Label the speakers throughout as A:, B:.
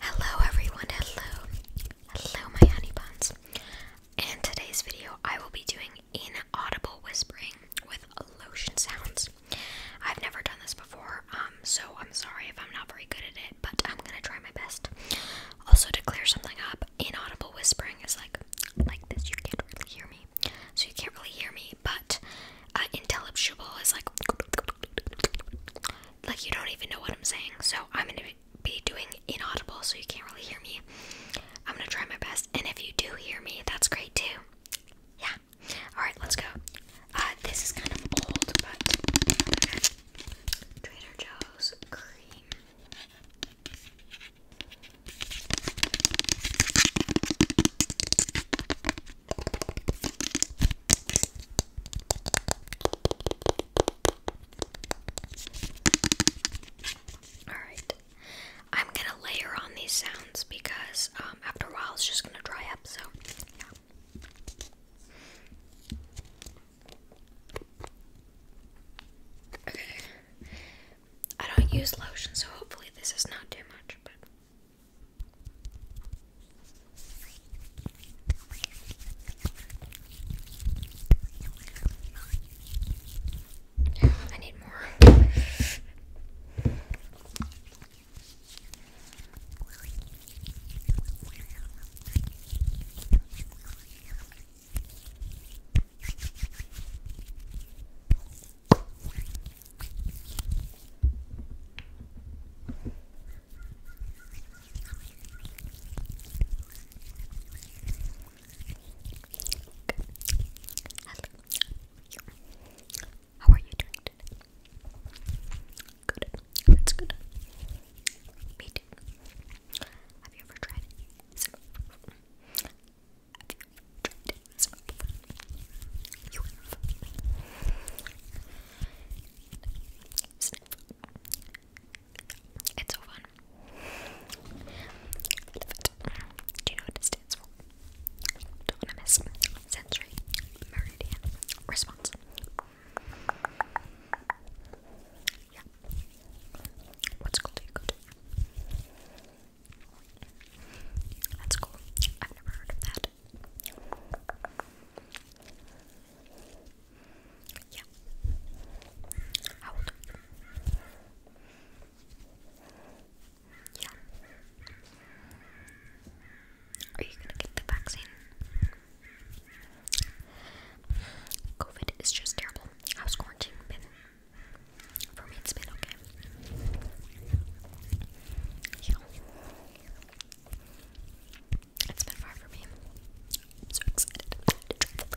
A: Hello everyone, hello. Hello my honey In today's video I will be doing inaudible whispering with lotion sounds. I've never done this before, um, so I'm sorry if I'm not very good at it, but I'm gonna try my best. Also to clear something up, inaudible whispering is like like this, you can't really hear me. So you can't really hear me, but uh, intelligible is like like you don't even know what I'm saying. So I'm gonna be doing inaudible, so you can't really hear me. I'm gonna try my best, and if you do hear me, that's great too. Yeah. All right, let's go. Uh, this is kind of old, but Trader Joe's cream. Alright. I'm gonna layer on these sounds because um, after a while it's just gonna dry up, so yeah. Okay. I don't use lotion, so hopefully this is not too much, but I need more. How are you doing Good. That's good. Me too. Have you ever tried it? Have you ever tried it? You It's so fun. Do you know what it stands for? Autonomous sensory meridian response. Yeah. What school do you That's cool. I've never heard of that. Yeah. How old you? Yeah. Are you gonna get the vaccine? COVID is just terrible. How's quarantine been? For me, it's been okay. Yeah. It's been far for me. so excited So excited.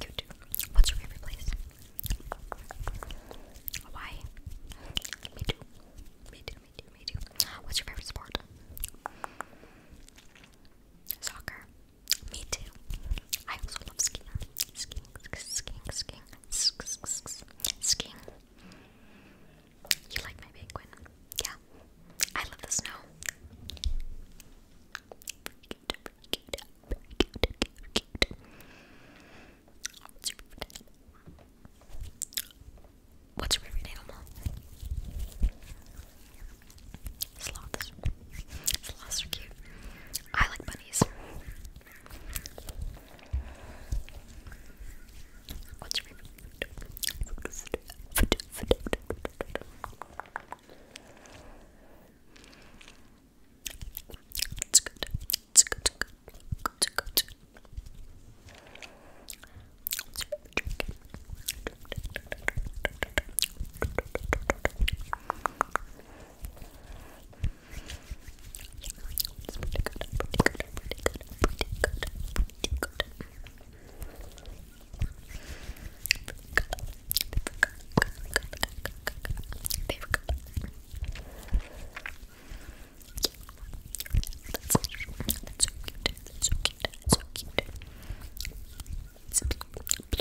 A: You too. What's your favorite place? Hawaii. Me too. Me too. Me too. Me too. What's your favorite sport? Soccer. Me too. I also love skiing. Skiing, skiing, skiing, skiing, skiing. You like my penguin? Yeah. I love the snow. Very cute, very cute, very cute, cute, cute. What's your favorite animal? Sloths. Sloths are cute. I like bunnies. What's your favorite food? It's good. It's good. It's good. It's good. It's good. What's your favorite drink? What's your favorite drink? It's pretty good, pretty good, pretty good, pretty good, pretty good. They've got that's so cute, that's so cute, that's so cute. It's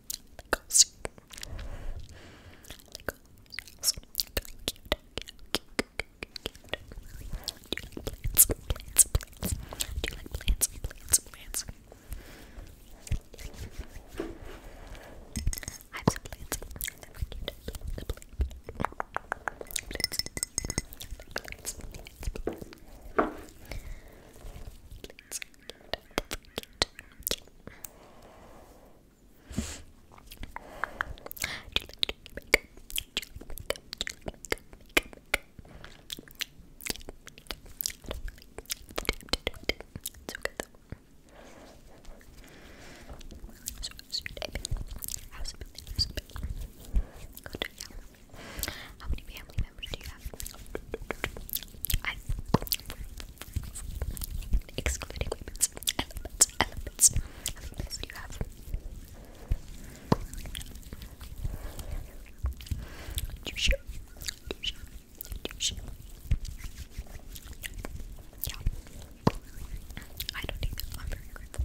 A: Like, so, like, so cute, cute, cute, cute, cute. Do you like plants? Plants, plants. Do you like plants? Plants, plants. I have some plants. They're cute. The plants. Plants, plants, plants. Plants, it's cute. It's okay though. So, how's your day been? How's it been? How's it been? Good, yeah. How many family members do you have? I excluding women's elements, elements. How many pets do you have? Do you share? Do you share? Yeah. I don't think I'm very grateful.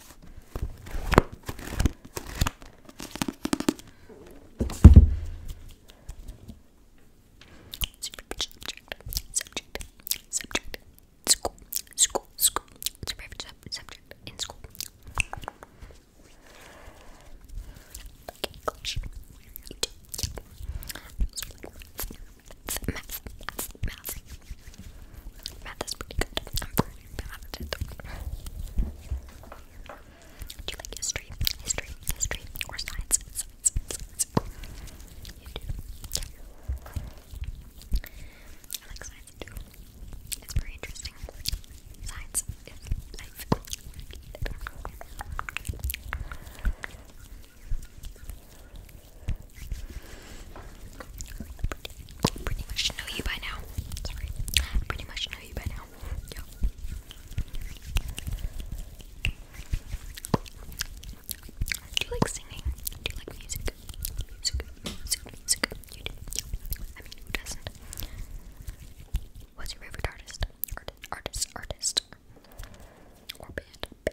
A: Superficial subject. Subject. Subject. School. School. School. Superficial subject in school. Okay, gosh. You do. Yeah math, math, math, math. Math is pretty good. I'm pretty bad at it. Do you like history, history, history, or science? I like science too. It's very interesting. Science is Pretty much know you by now. Sorry. Pretty much know you by now. Do you like singing? Do you like music? Music, music, music. You do. I mean, who doesn't? What's your favorite artist? Artist, artist, artist. Or band,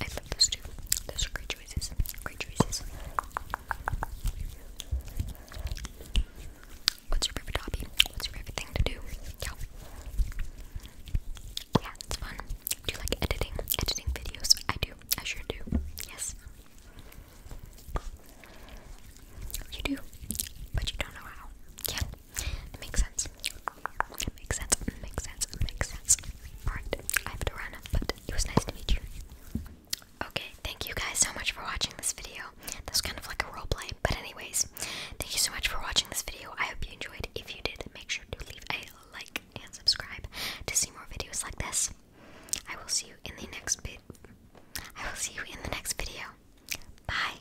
A: I love those two. Those are great choices. Great choices. What's your favorite hobby? What's your favorite thing to do? Yeah. Yeah, it's fun. Do you like editing? Editing videos? I do. I sure do. Yes. You do, but you don't know how. Yeah, it makes sense. It makes sense. makes sense. makes sense. Alright, I have to run, but it was nice to meet you. Okay, thank you guys so much for watching this video. That was kind of like a role play, but anyways, thank you so much for watching this video. I hope you enjoyed. If you did, make sure to leave a like and subscribe to see more videos like this. I will see you in the next bit. I will see you in the next video. Bye.